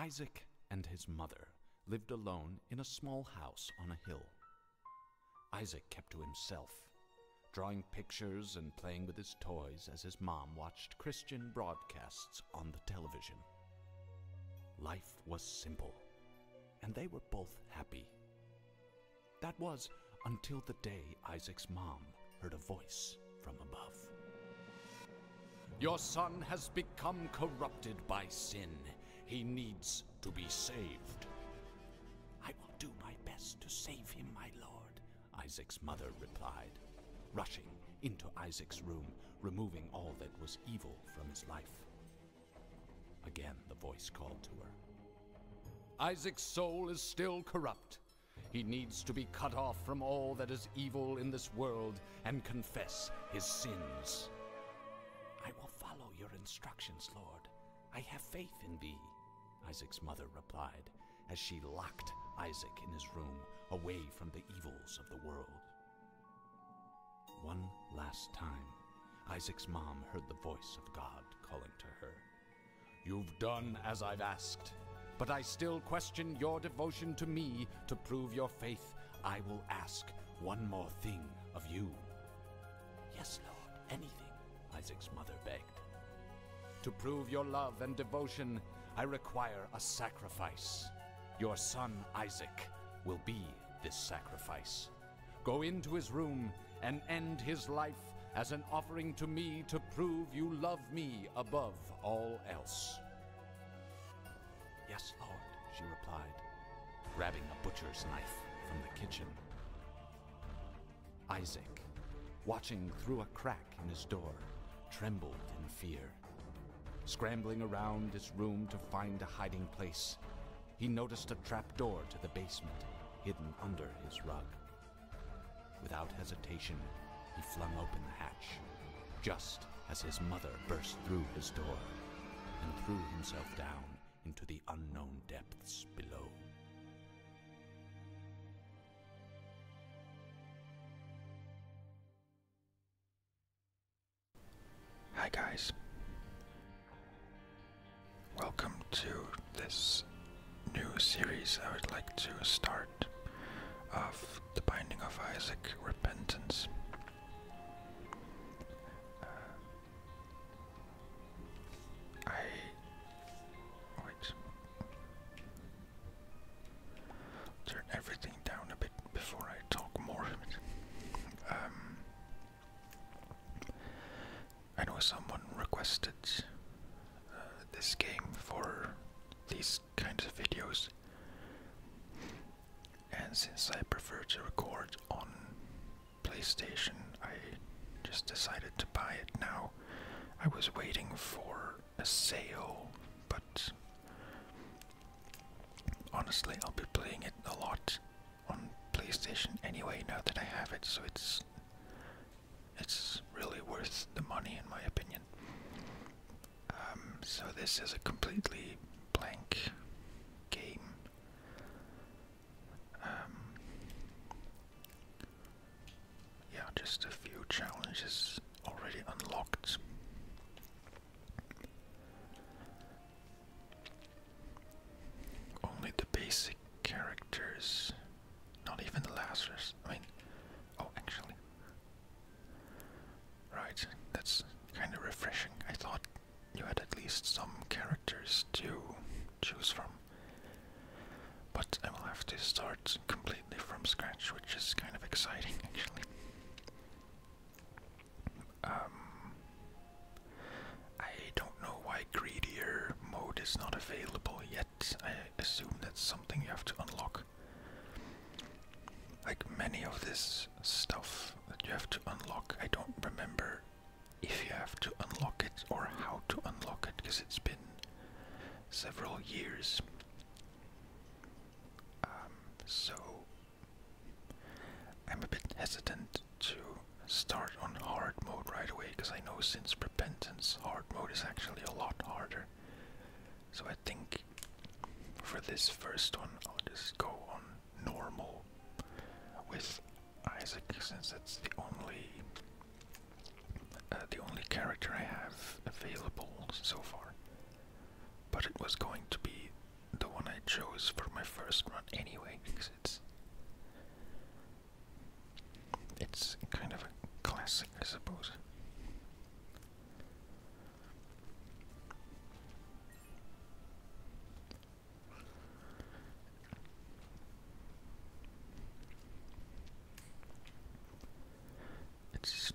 Isaac and his mother lived alone in a small house on a hill. Isaac kept to himself, drawing pictures and playing with his toys as his mom watched Christian broadcasts on the television. Life was simple, and they were both happy. That was until the day Isaac's mom heard a voice from above. Your son has become corrupted by sin. He needs to be saved. I will do my best to save him, my lord, Isaac's mother replied, rushing into Isaac's room, removing all that was evil from his life. Again the voice called to her. Isaac's soul is still corrupt. He needs to be cut off from all that is evil in this world and confess his sins. I will follow your instructions, Lord. I have faith in thee, Isaac's mother replied, as she locked Isaac in his room away from the evils of the world. One last time, Isaac's mom heard the voice of God calling to her. You've done as I've asked, but I still question your devotion to me to prove your faith. I will ask one more thing of you. Yes, Lord, anything, Isaac's mother begged. To prove your love and devotion, I require a sacrifice. Your son Isaac will be this sacrifice. Go into his room and end his life as an offering to me to prove you love me above all else. Yes, Lord, she replied, grabbing a butcher's knife from the kitchen. Isaac, watching through a crack, in his door, trembled in fear. Scrambling around his room to find a hiding place, he noticed a trapdoor to the basement hidden under his rug. Without hesitation, he flung open the hatch, just as his mother burst through his door and threw himself down into the unknown depths below. Hi guys. Welcome to this new series I would like to start of The Binding of Isaac Repentance. Uh, I wait. Turn everything down a bit before I talk more. Um, I know someone requested uh, this game for these kinds of videos, and since I prefer to record on PlayStation, I just decided to buy it now. I was waiting for a sale, but honestly, I'll be playing it a lot on PlayStation anyway now that I have it, so it's it's really worth the money in my opinion. Um, so this is a completely blank game. Um, yeah, just a few challenges already unlocked. Only the basic characters, not even the Lazarus. I mean, oh, actually. Right, that's kind of refreshing. I thought you had at least some characters to choose from but I will have to start completely from scratch, which is kind of exciting actually. Um, I don't know why greedier mode is not available yet. I assume that's something you have to unlock. Like many of this stuff that you have to unlock, I don't remember if you have to unlock it or how to unlock it because it's been several years um, so I'm a bit hesitant to start on hard mode right away because I know since repentance, hard mode is actually a lot harder. So I think for this first one, I'll just go on normal with Isaac since that's the only uh, the only character I have available so far. But it was going to be the one I chose for my first run anyway, because it's it's kind of a classic, I suppose. It's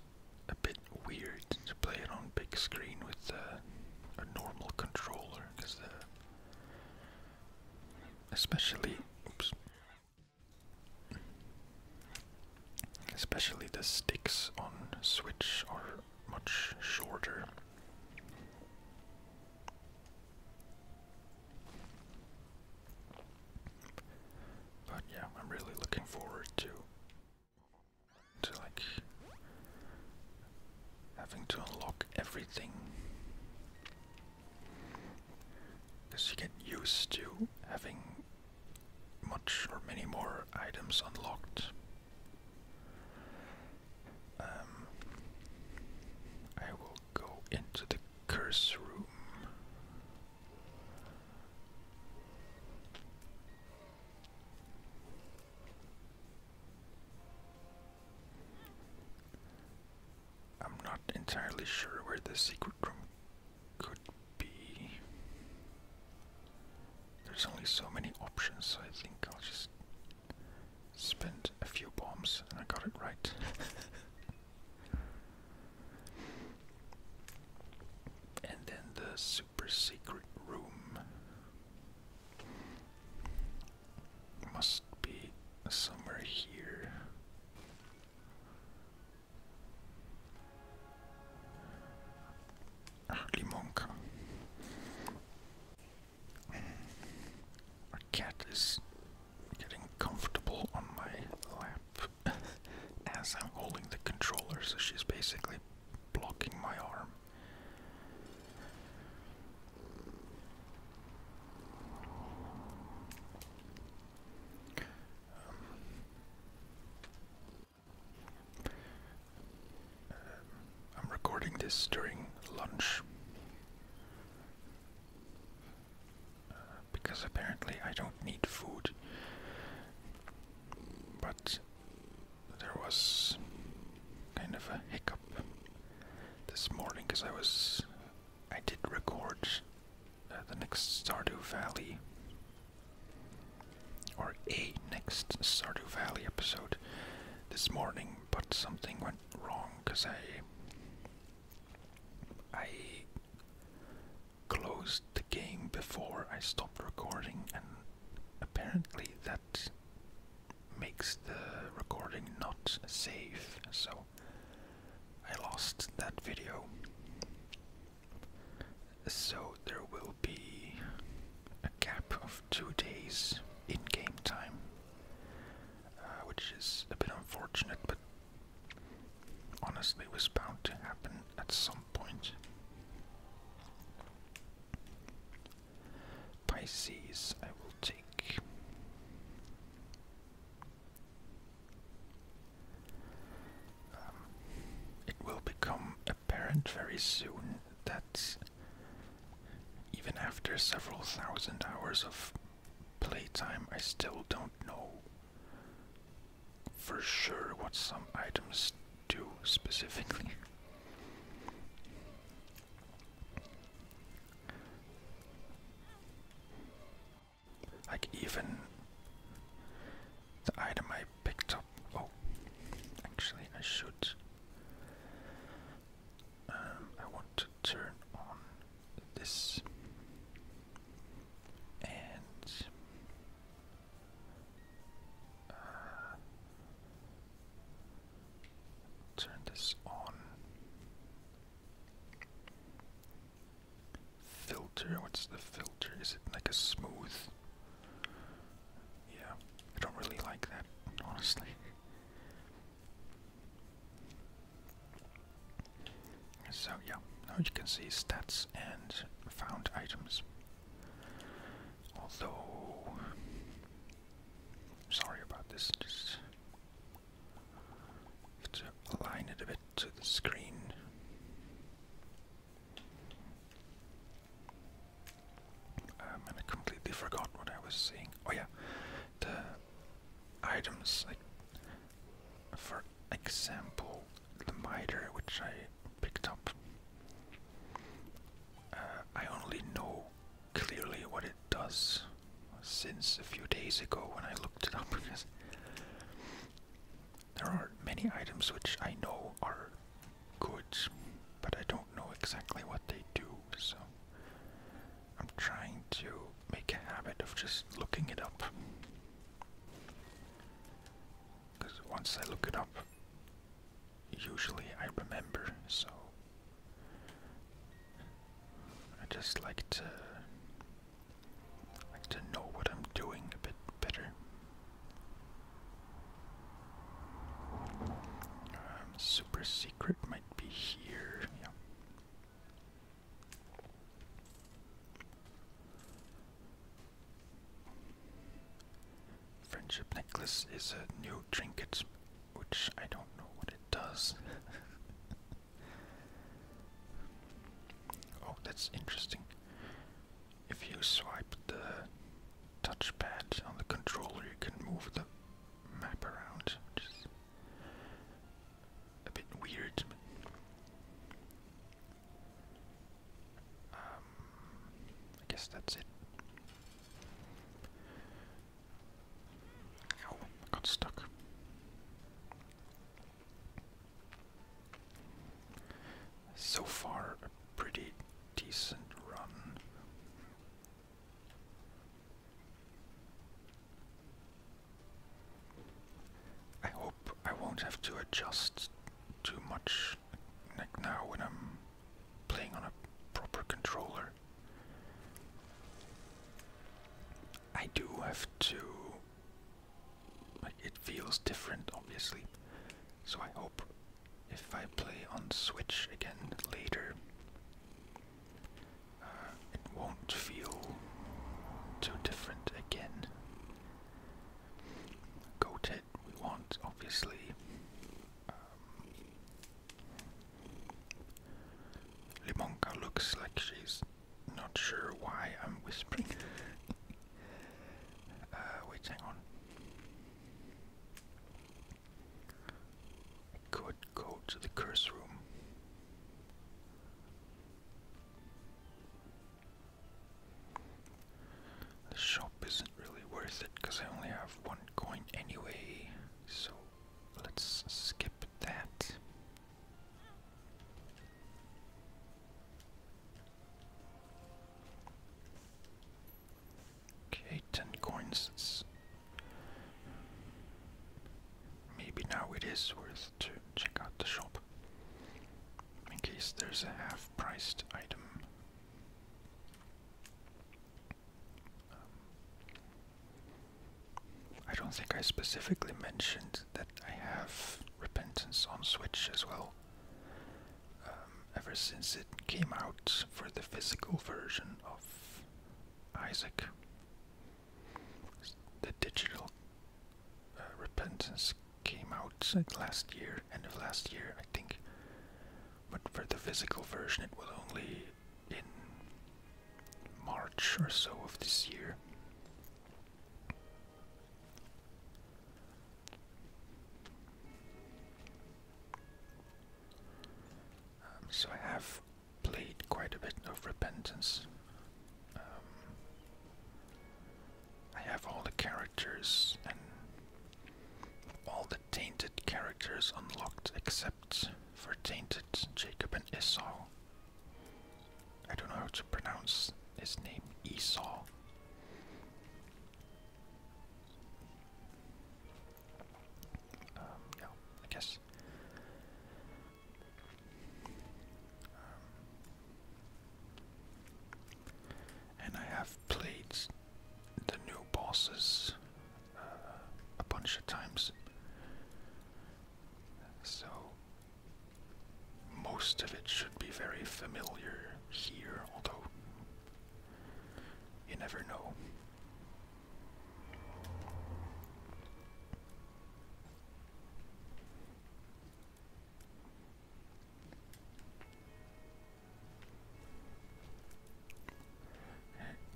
a bit weird to play it on big screen with uh, a normal controller, because the uh, especially, oops, especially the sticks on Switch are much shorter. But yeah, I'm really looking forward to to like having to unlock everything. Because you get used to having much or many more items unlocked. Um, I will go into the curse room I'm not entirely sure where the secret room could be. There's only so many options, so I think I'll just spend a few bombs and I got it right. And then the super secret room must be somewhere here. Ah, Limonka. Our cat is getting comfortable on my lap as I'm holding the controller, so she's basically blocking my arm. Um, I'm recording this during lunch. Uh, because apparently I don't need food. But there was kind of a hiccup this morning because I was. I did record uh, the next Stardew Valley. Or a next Stardew Valley episode this morning, but something went wrong because I. I closed the game before I stopped recording, and apparently that makes the recording not safe, so I lost that video. So there will be a gap of two days in game time, uh, which is a bit unfortunate, but honestly was bound to happen at some point. Pisces, I will take. Um, it will become apparent very soon that even after several thousand hours of playtime, I still don't know for sure what some items do specifically. Like even the item I picked up. Oh, actually, I should. Um, I want to turn on this and uh, turn this on. Filter, what's the filter? Is it like a smooth? Yeah, I don't really like that, honestly. So yeah, now you can see stats and found items. Although, sorry about this, just align it a bit to the screen. Um, and I completely forgot what I was saying. Oh yeah, the items like for example, the miter which I picked up. Uh, I only know clearly what it does since a few days ago when I looked it up because there are many items which I know are goods, but I don't know exactly what they do, so I'm trying to make a habit of just looking it up. Because once I look it up, usually I remember, so I just like to like to know what I'm doing a bit better. Um, super secret might be here. Yeah. Friendship necklace is a new trinket, which I don't know what it does. oh, that's interesting. If you swipe the touchpad on the controller, you can move the map around, which a bit weird. Um, I guess that's it. Oh, got stuck. So far, a pretty decent run. I hope I won't have to adjust too much like now when I'm playing on a proper controller. I do have to like it feels different obviously. So I hope if I play on Switch again later uh, it won't feel too different again. Goated we want, obviously. Um, Limonka looks like she's not sure why I'm whispering. Uh, wait, hang on. could go to the curse room. The shop isn't really worth it because I only have one coin anyway, so let's skip that. Okay, 10 coins. Maybe now it is worth to check out the shop in case there's a half priced item. Um, I don't think I specifically mentioned that I have Repentance on Switch as well. Um, ever since it came out for the physical version of Isaac, the digital uh, repentance came out last year, end of last year, I think. But for the physical version, it was only in March or so of this year. Um, so I have played quite a bit of Repentance um, I have all the characters and all the tainted characters unlocked except for tainted Jacob and Esau. I don't know how to pronounce his name, Esau. Um, yeah, I guess. Um, and I have played the new bosses uh, a bunch of times. So most of it should be very familiar here, although you never know.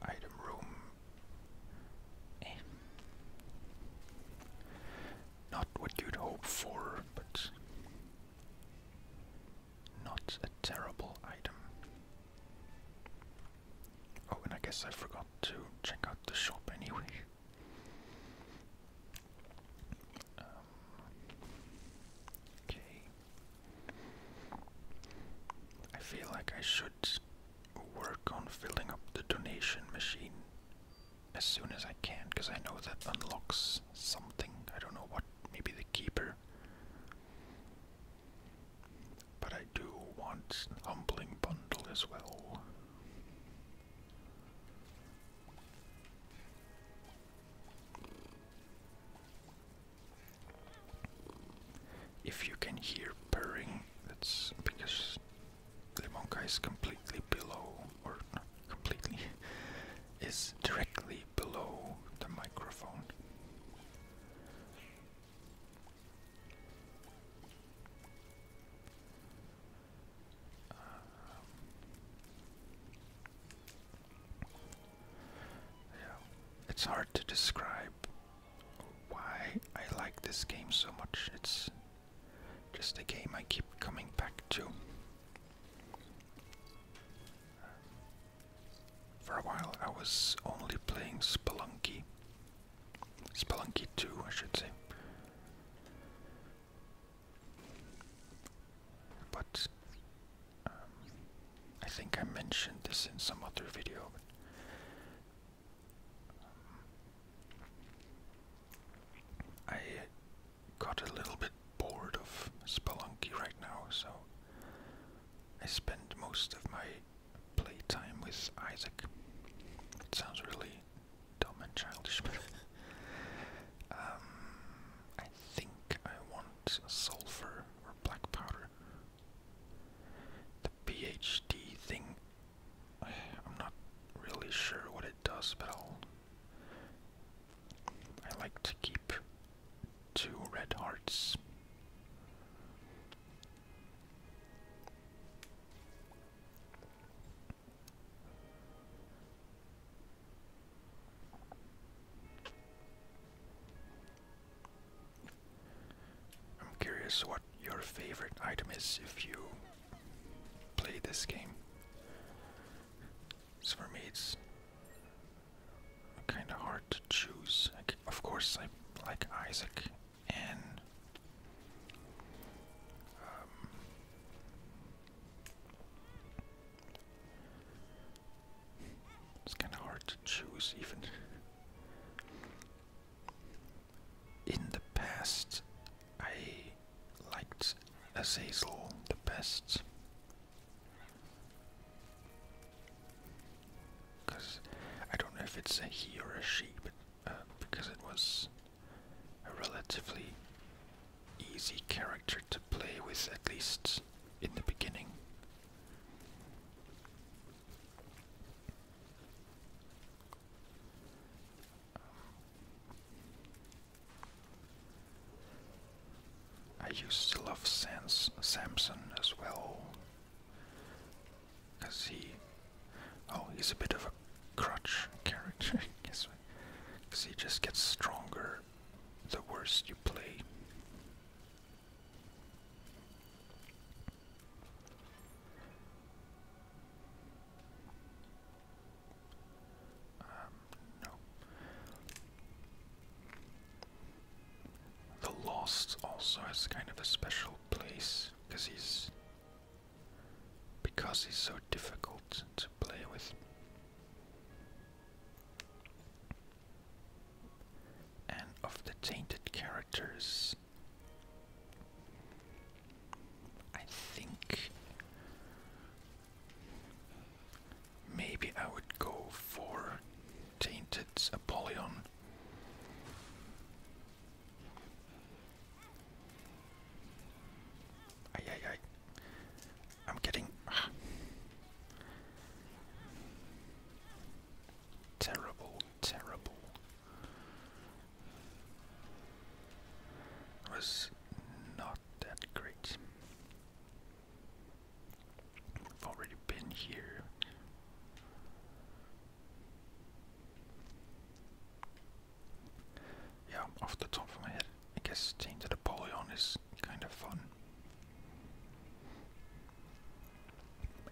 Item room. Eh. Not what you'd hope for, but not a terrible item. Oh, and I guess I forgot to check out the shop anyway. Um, okay. I feel like I should work on filling up the donation machine as soon as I can, because I know that unlocks something. I don't know what, maybe the keeper. But I do want an umbling bundle as well. If you can hear purring, that's because the Monka is completely below, or not completely, is directly below the microphone yeah, it's hard to describe why I like this game so much. It's just a game I keep coming back to. For a while, I was only playing Spelunky. Spelunky 2, I should say. But um, I think I mentioned this in some other video. Um, I got a little bit bored of Spelunky right now, so I spend most of my playtime with Isaac. It sounds really dumb and childish, but um, I think I want sulfur or black powder. The PhD thing, I'm not really sure what it does, but I'll. I like to keep two red hearts. I'm curious what your favorite item is if you play this game. So for me, it's kind of hard to choose. of course, I like Isaac and um, it's kind of hard to choose, even. In the past, I liked Azazel the best. Because I don't know if it's a he or a she, but um, because it was a relatively easy character to play with, at least in the beginning. Um, I used to love Sans Samson as well, because he Oh, he's a bit of a crutch character, I guess. Because he just gets stronger the worse you play. Um, no. The Lost also has kind of a special place because he's because he's so difficult to play with. And of the tainted characters, I think maybe I would go for Tainted Apollyon. Ay, ay, ay. I'm getting. Ah. Terrible, terrible. was not that great. I've already been here. Yeah, off the top of my head, I guess Tainted to Napoleon is kind of fun.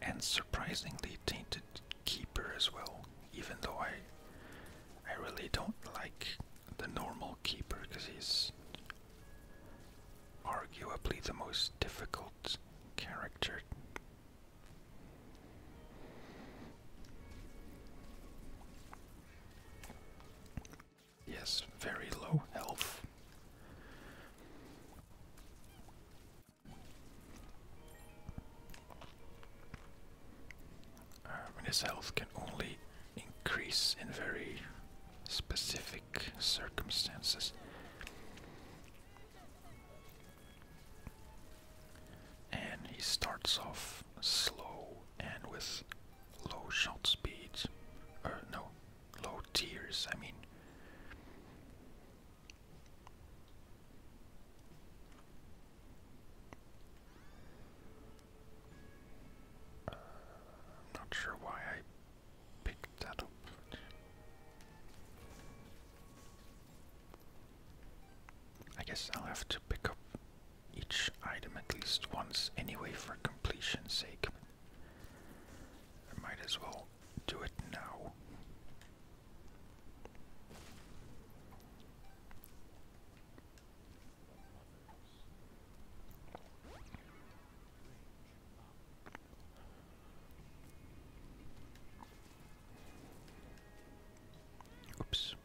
And surprisingly Tainted Keeper as well, even though I I really don't like the normal Keeper because he's arguably the most difficult character Yes, very low health. Um, uh, his health can only increase in very specific circumstances. And he starts off slow and with low shot speed. no, low tiers, I mean. I'm uh, not sure why I picked that up. I guess I'll have to pick up each item at least once anyway for completion's sake. I might as well do it now. Oops.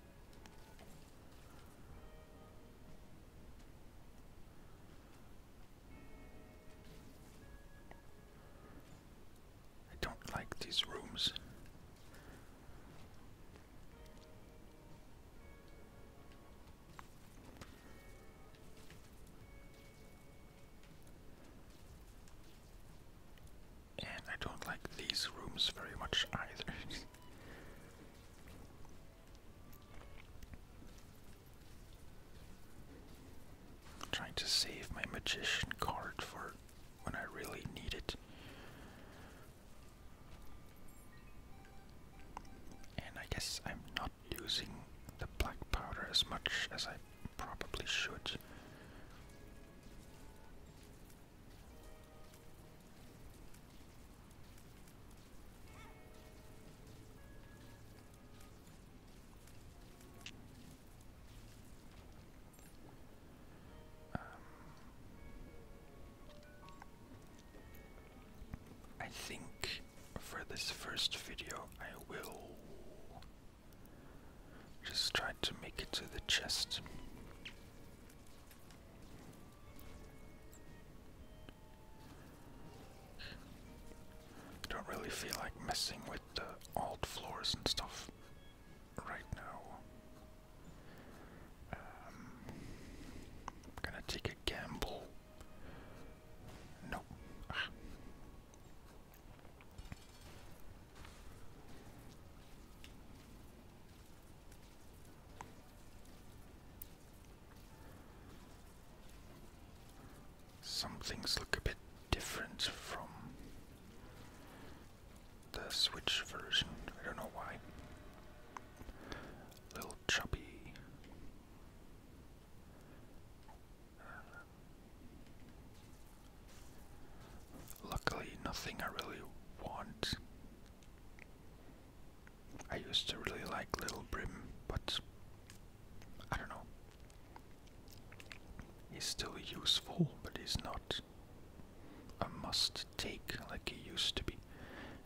I don't like these rooms and I don't like these rooms very much either. trying to save my magician card for when I really need it. And I guess I'm not using the black powder as much as I probably should. Um, I think for this first video, I will just try to make it to the chest. Don't really feel like messing with the old floors and stuff right now. Um, gonna take a gamble. Nope. Some things look a bit different from the Switch version. I don't know why. little chubby. Luckily, nothing I really want. I used to really like Little Brim, but I don't know. He's still useful, but he's not a must take like he used to be.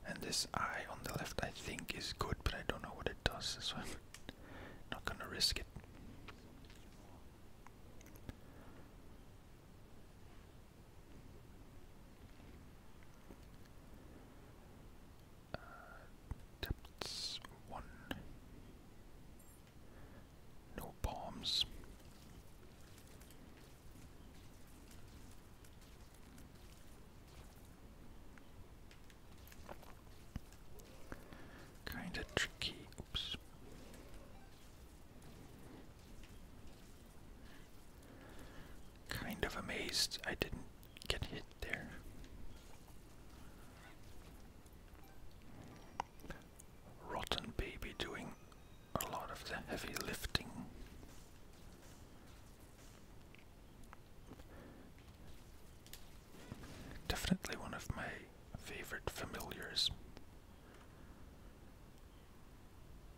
And this eye on the left, I think, is good, but I don't know what it does, so I'm not gonna risk it. Uh, one. No bombs. Kinda tricky. Oops. Kind of amazed I didn't get hit there. Rotten baby doing a lot of the heavy lifting. Definitely one of my favorite familiars.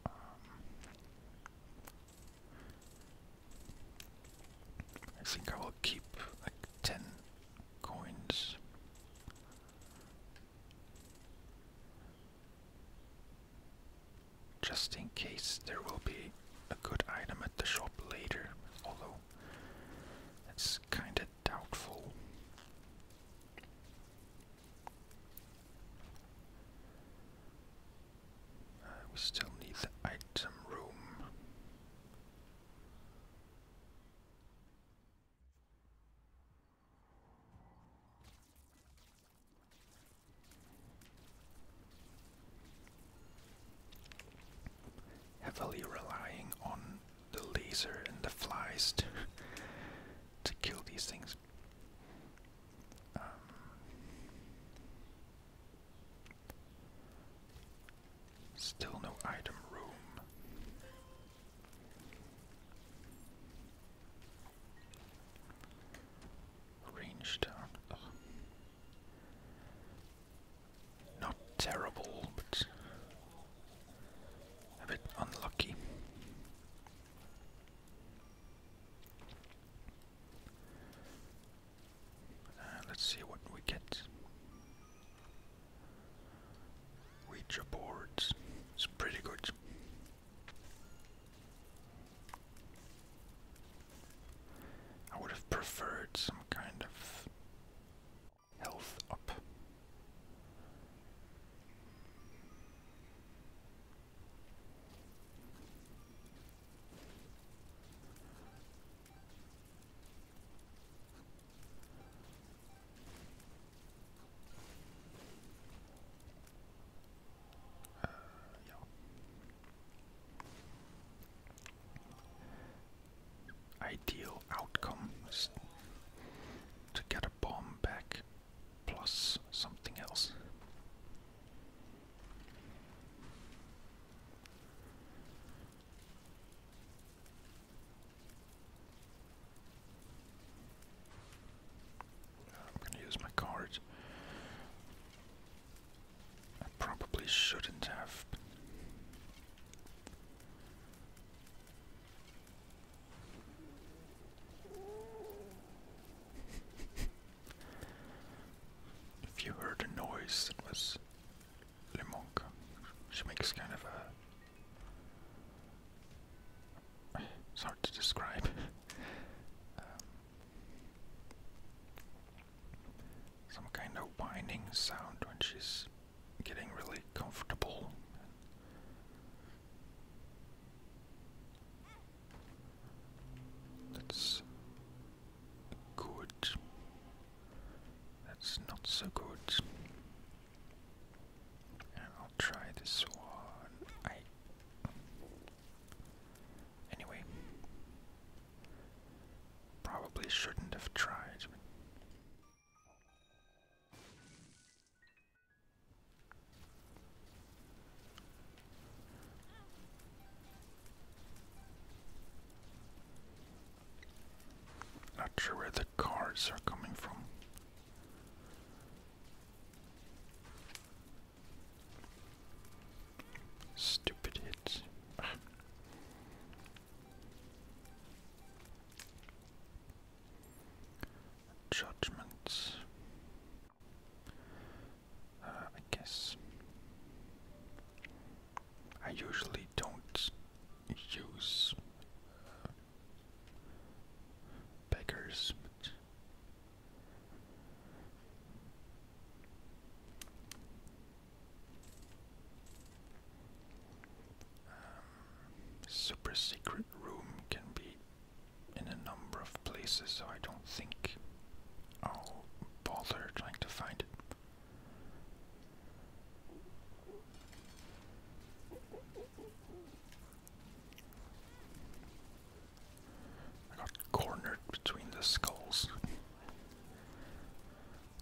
Um, I think I will keep like 10 coins. Just in case there will be a good item at the shop later, although that's kinda doubtful we still need the item room. Heavily relying on the laser and the flies to kill these things. Um, still no item room. Range down. Not terrible, but a bit unlucky. Uh, let's see what we get. Ouija boards. It's pretty good. I would have preferred some kind of health up. Ideal outcome is to get a bomb back plus something else. I'm going to use my card. I probably shouldn't have if you heard a noise, it was Limonka. She makes kind of a. It's hard to describe. Um, some kind of whining sound when she's getting really comfortable. That's good. That's not so good. And I'll try this one. I. Anyway. Probably shouldn't have tried. Not sure where the cards are coming from. Stupid hits. Judgments. Uh, I guess I usually don't use uh, beggars. Um, super secret room can be in a number of places, so I don't think I'll bother trying to find it. I got cornered between the skulls.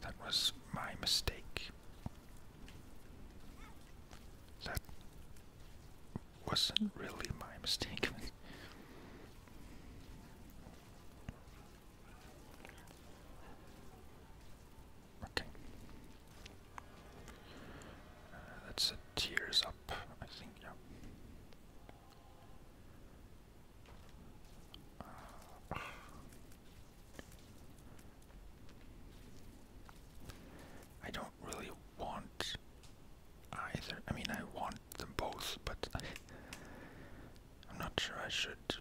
That was my mistake. That wasn't really my mistake. okay. Uh, that's a tears up, I think, yeah. Uh, I don't really want either. I mean, I want them both, but I, am not sure I should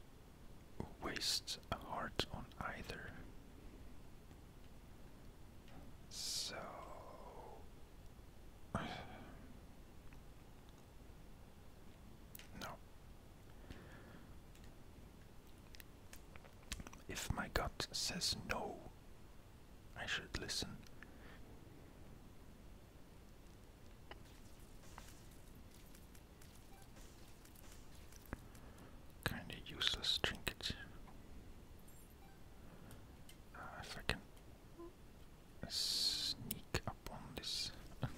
waste a heart on either. So. No. If my gut says no, I should listen. Kinda useless trinket. Uh, if I can sneak up this.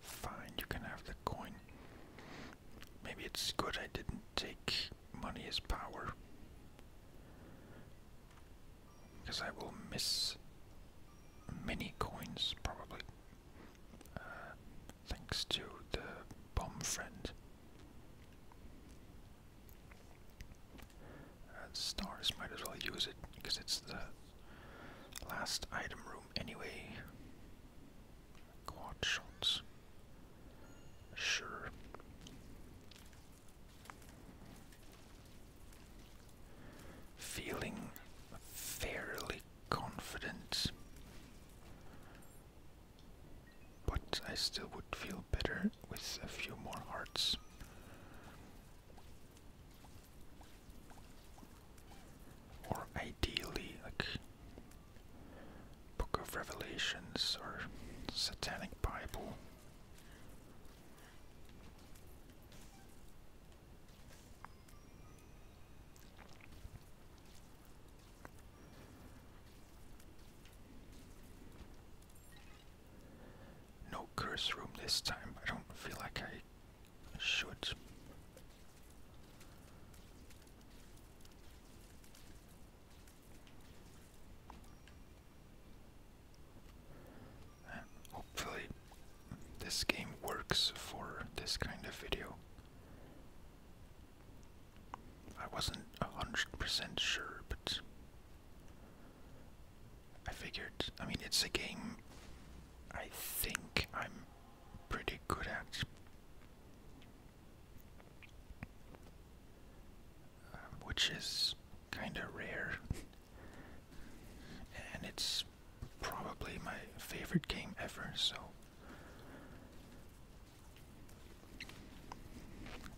Fine, you can have the coin. Maybe it's good I didn't take money as power. Because I will miss many coins, probably. Uh, thanks to the bomb friend. Uh, stars might as well use it because it's the Last item room, anyway. Quad shots. Sure. Feeling fairly confident. But I still would feel better with a few more hearts. Or ideally, like Book of Revelations or Satanic Bible. No curse room this time. I don't feel like I should. hopefully, this game works for this kind of video. I wasn't a hundred percent sure, but I figured. I mean, it's a game. I think I'm pretty good at. Um, which is kinda rare. and it's probably my favorite game ever, so.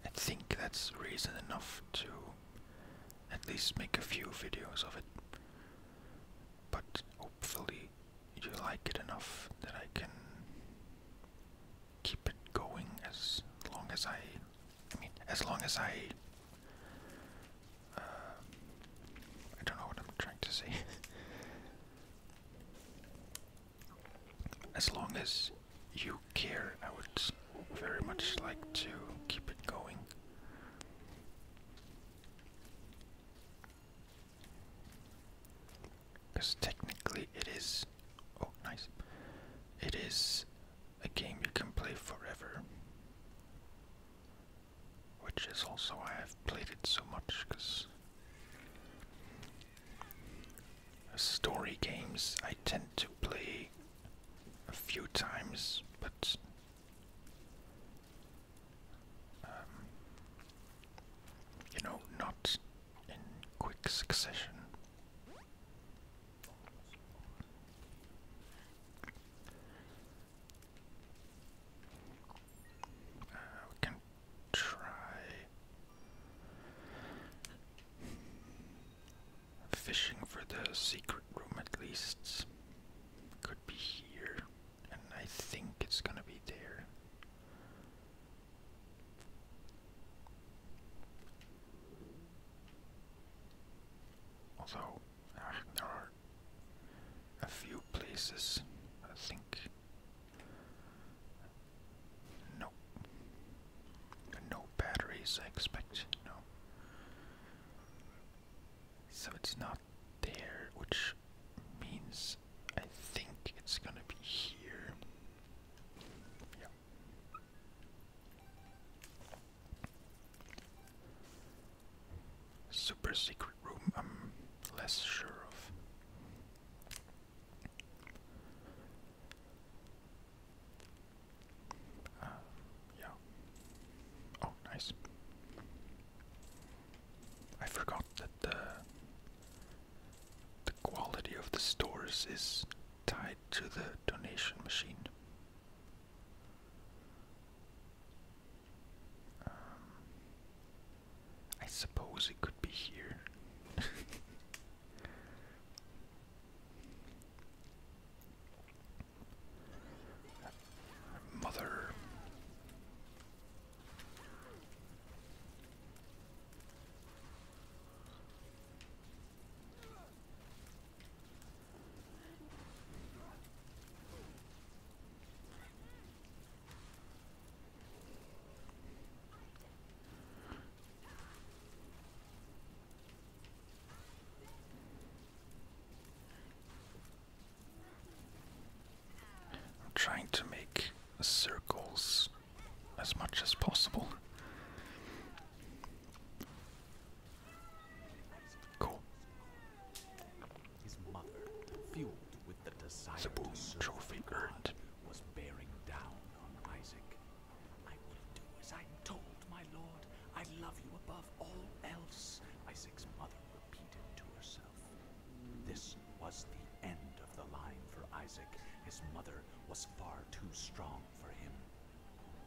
I think that's reason enough to at least make a few videos of it but hopefully you like it enough that I can keep it going as long as I I mean as long as I uh, I don't know what I'm trying to say as long as you care I would very much like to keep it going because technically it is. Oh, nice. It is a game you can play forever. Which is also why I've played it so much, because. Story games I tend to play a few times, but um, you know, not in quick succession. Uh, we can try fishing for the secret room at least. Could be here and I think it's gonna be there. Although ah, there are a few places, I think. No, no batteries. I expect no. So it's not there, which means I think it's gonna be here. Super secret room, I'm less sure of. Um, yeah. Oh, nice. I forgot that the the quality of the stores is tied to the donation machine. Um, I suppose it could be here. Mother. I'm trying to make circles as much as possible. Cool. the desire trophy earned. was bearing down on Isaac. I will do as I'm told, my lord. I love you above all else. Isaac's mother repeated to herself. This was the end of the line for Isaac. His mother was far too strong for him.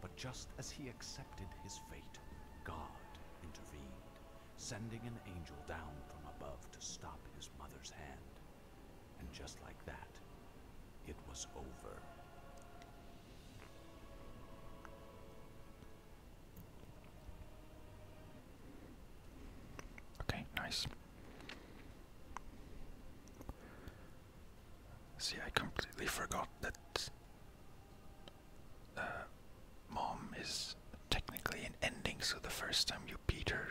But just as he accepted his fate, God intervened, sending an angel down from above to stop his mother's hand. And just like that, it was over. Okay, nice. See, I completely forgot that uh, mom is technically an ending, so the first time you beat her,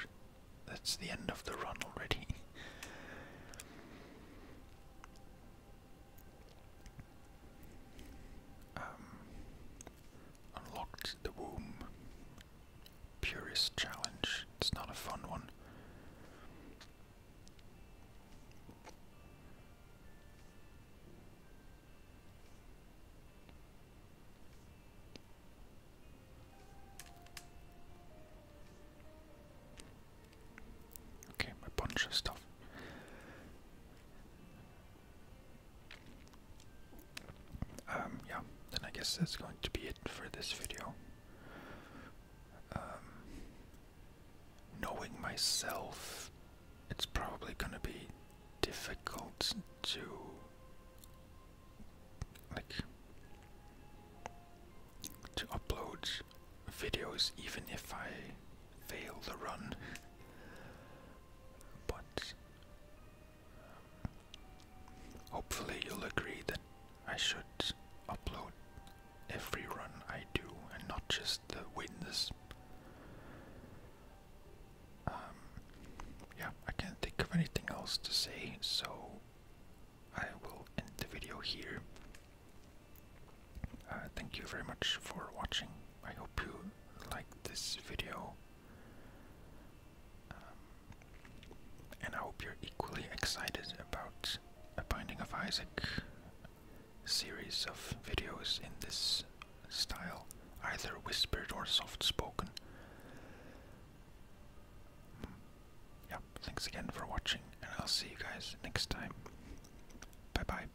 that's the end of the run already. Um, unlocked the womb. Purist challenge. It's not a fun one. Okay, a bunch of stuff. Um, yeah, then I guess that's going to be it for this video. Um, knowing myself, it's probably going to be difficult to like to upload videos even if I fail the run but hopefully you'll agree that I should upload every run I do and not just the wins. Um, yeah, I can't think of anything else to say, so I will end the video here. Uh, thank you very much for watching. I hope you liked this video. Um, and I hope you're equally excited about a Binding of Isaac series of videos in this style, either whispered or soft spoken. Mm. Yeah, thanks again for watching, and I'll see you guys next time. Bye bye.